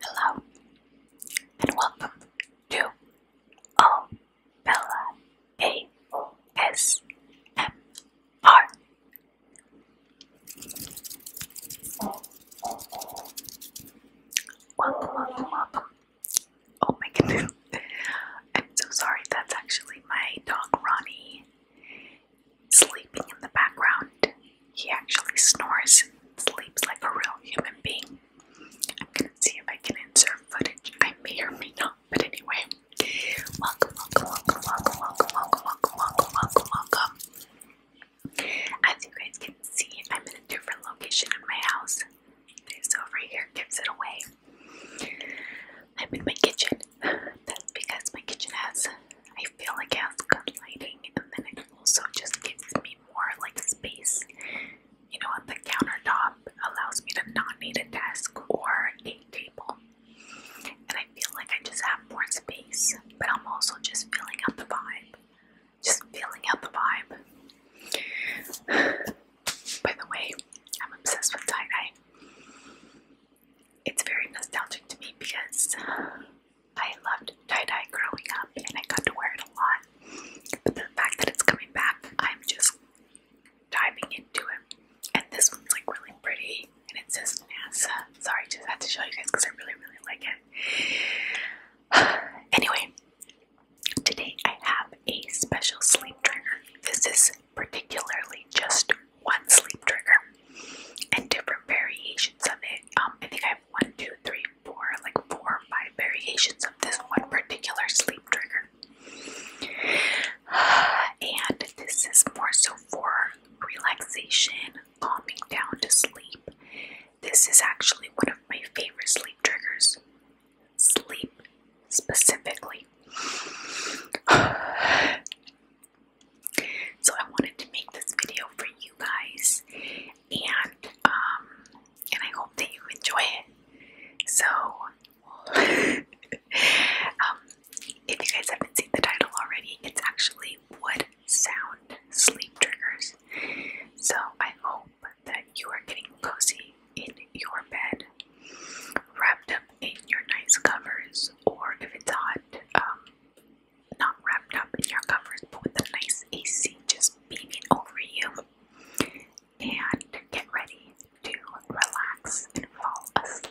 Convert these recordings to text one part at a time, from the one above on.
Hello and welcome to All Bella ASMR. Welcome, welcome, Oh my goodness. I'm so sorry, that's actually my dog Ronnie sleeping in the background. He actually snores sleeps like a real human being. I'm gonna see if I can insert footage. I may or may not, but anyway. Welcome, welcome, welcome, welcome, welcome, welcome, welcome, welcome, welcome, welcome. As you guys can see, I'm in a different location in my house. This over here gives it away. I'm in my kitchen. That's because my kitchen has I I feel like it has good lighting and then it also just gives me more like space, you know, on the countertop allows me to not need a desk or a table. And I feel like I just have more space, but I'm also just feeling out the vibe. Just feeling out the vibe. By the way, I'm obsessed with tie dye. It's very nostalgic to me because I loved tie-dye growing up and I got to wear it a lot. But the fact that it's coming back, I'm just diving into it. And this one's like really pretty and it says NASA. Sorry, just had to show you guys because I really, really like it. anyway, today I have a special sleep trigger. This is particularly just one sleep trigger and different variations of it. Um, I think I have one, two, three, four, like four five variations of this one particular sleep trigger. And this is more so for relaxation, calming down to sleep. This is actually one of my favorite sleep triggers. Sleep specifically. So I wanted to make this video for you guys, and um, and I hope that you enjoy it. So, um, if you guys haven't seen the title already, it's actually what Sound Sleep Triggers. So I hope that you are getting cozy in your bed, wrapped up in your nice covers, or if it's hot, um, not wrapped up in your covers but with a nice AC just beaming over you and get ready to relax and fall asleep.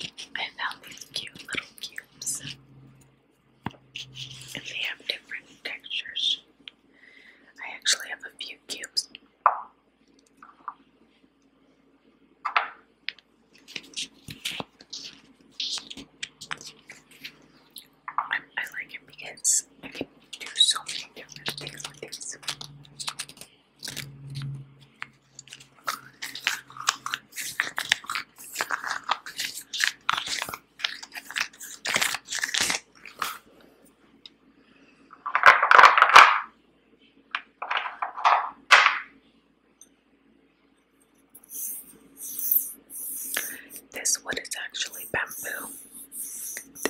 I found these cute little cubes. And they have different textures. I actually have a few cubes. I, like it because I can do so many different things with these. This wood is actually bamboo.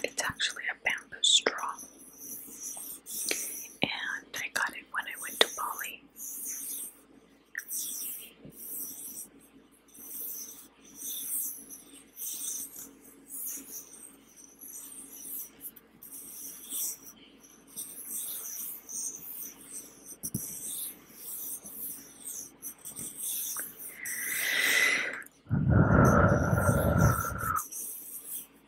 It's actually a bamboo straw and I got it when I went to Bali.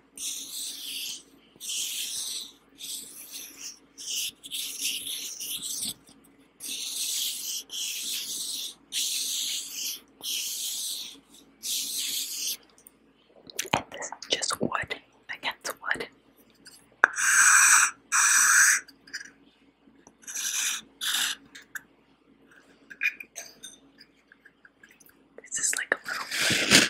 And this is just wood against wood. This is like a little.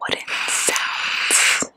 Wooden sounds.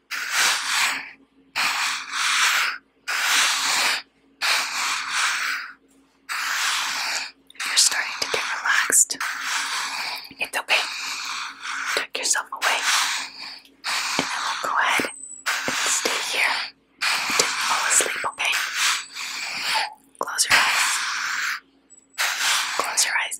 You're starting to get relaxed. It's okay. Tuck yourself away. And I go ahead stay here. fall asleep, okay? Close your eyes. Close your eyes.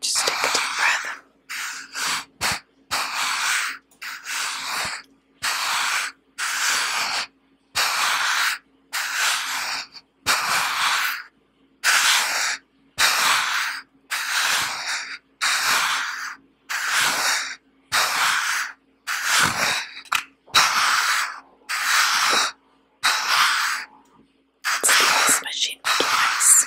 Just take a deep breath. Skills machine twice.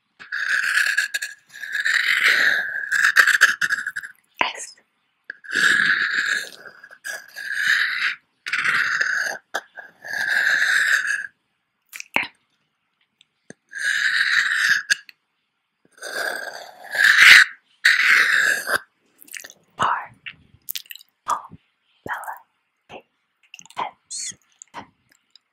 S M R O Bella A S M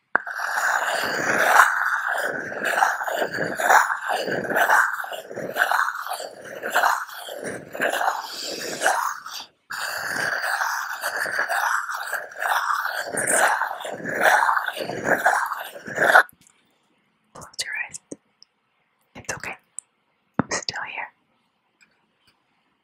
Close your eyes. It's okay. I'm still here.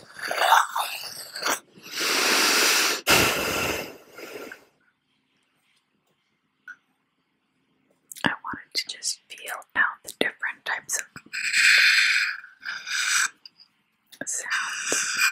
I wanted to just feel out the different types of sounds.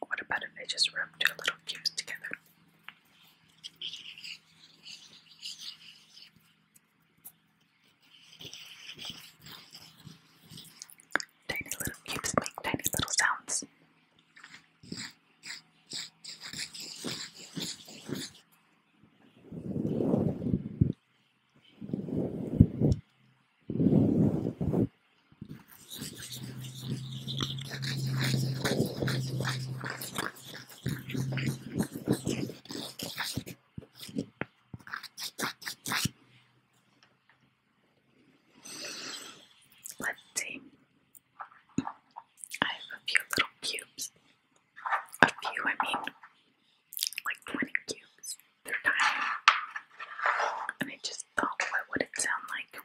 What about if I just rub two little cubes together? Tiny little cubes make tiny little sounds. Let's see. I have a few little cubes. A few, I mean, like 20 cubes. They're tiny. And I just thought, what would it sound like?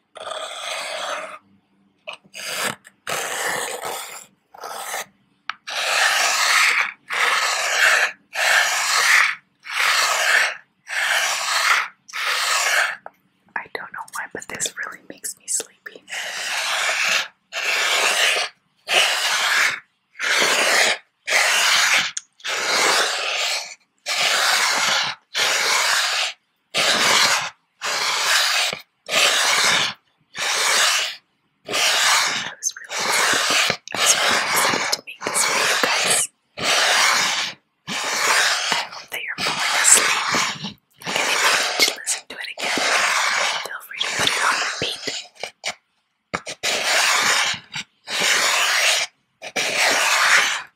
I don't know why, but this really makes me sleepy. I was really excited. I was really excited to make this for you guys. I hope that you're falling asleep. And if you need to listen to it again, feel free to put it on repeat.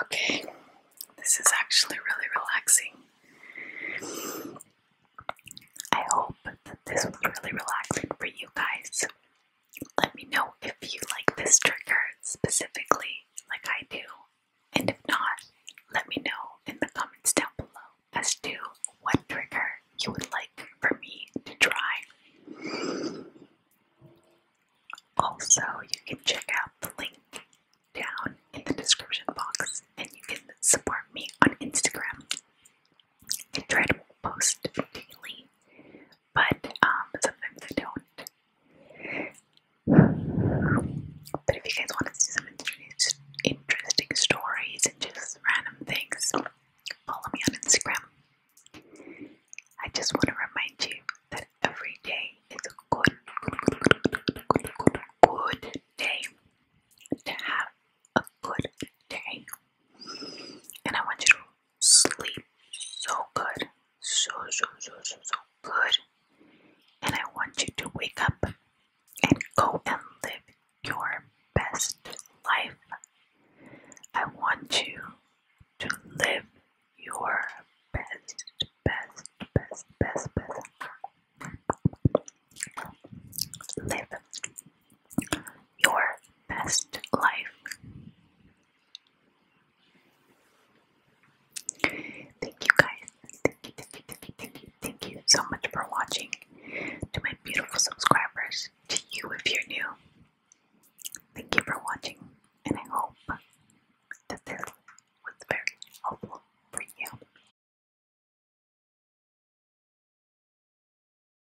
okay, this is actually really relaxing. I hope that this was really relaxing for you guys. Let me know if you like this trigger specifically, like I do. And if not, let me know in the comments down below as to what trigger you would like for me to try. Also, you can check out the link down in the description box and you can support me on Instagram. I try to post daily but um, sometimes I don't. But if you guys want to see some interesting stories and just random things, follow me on Instagram. I just want to remind you that every day is a good, good, good, day to have a good day. And I want you to sleep so good. So, so, so, so, so good. And I want you to wake up and go and live your best life. I want you to live your best, best, best, best, best. Live your best life. Thank you guys. Thank you, thank you, thank you, thank you, so much for watching. To my beautiful subscribers, to you if you're new, thank you for watching, and I hope that this was very helpful for you.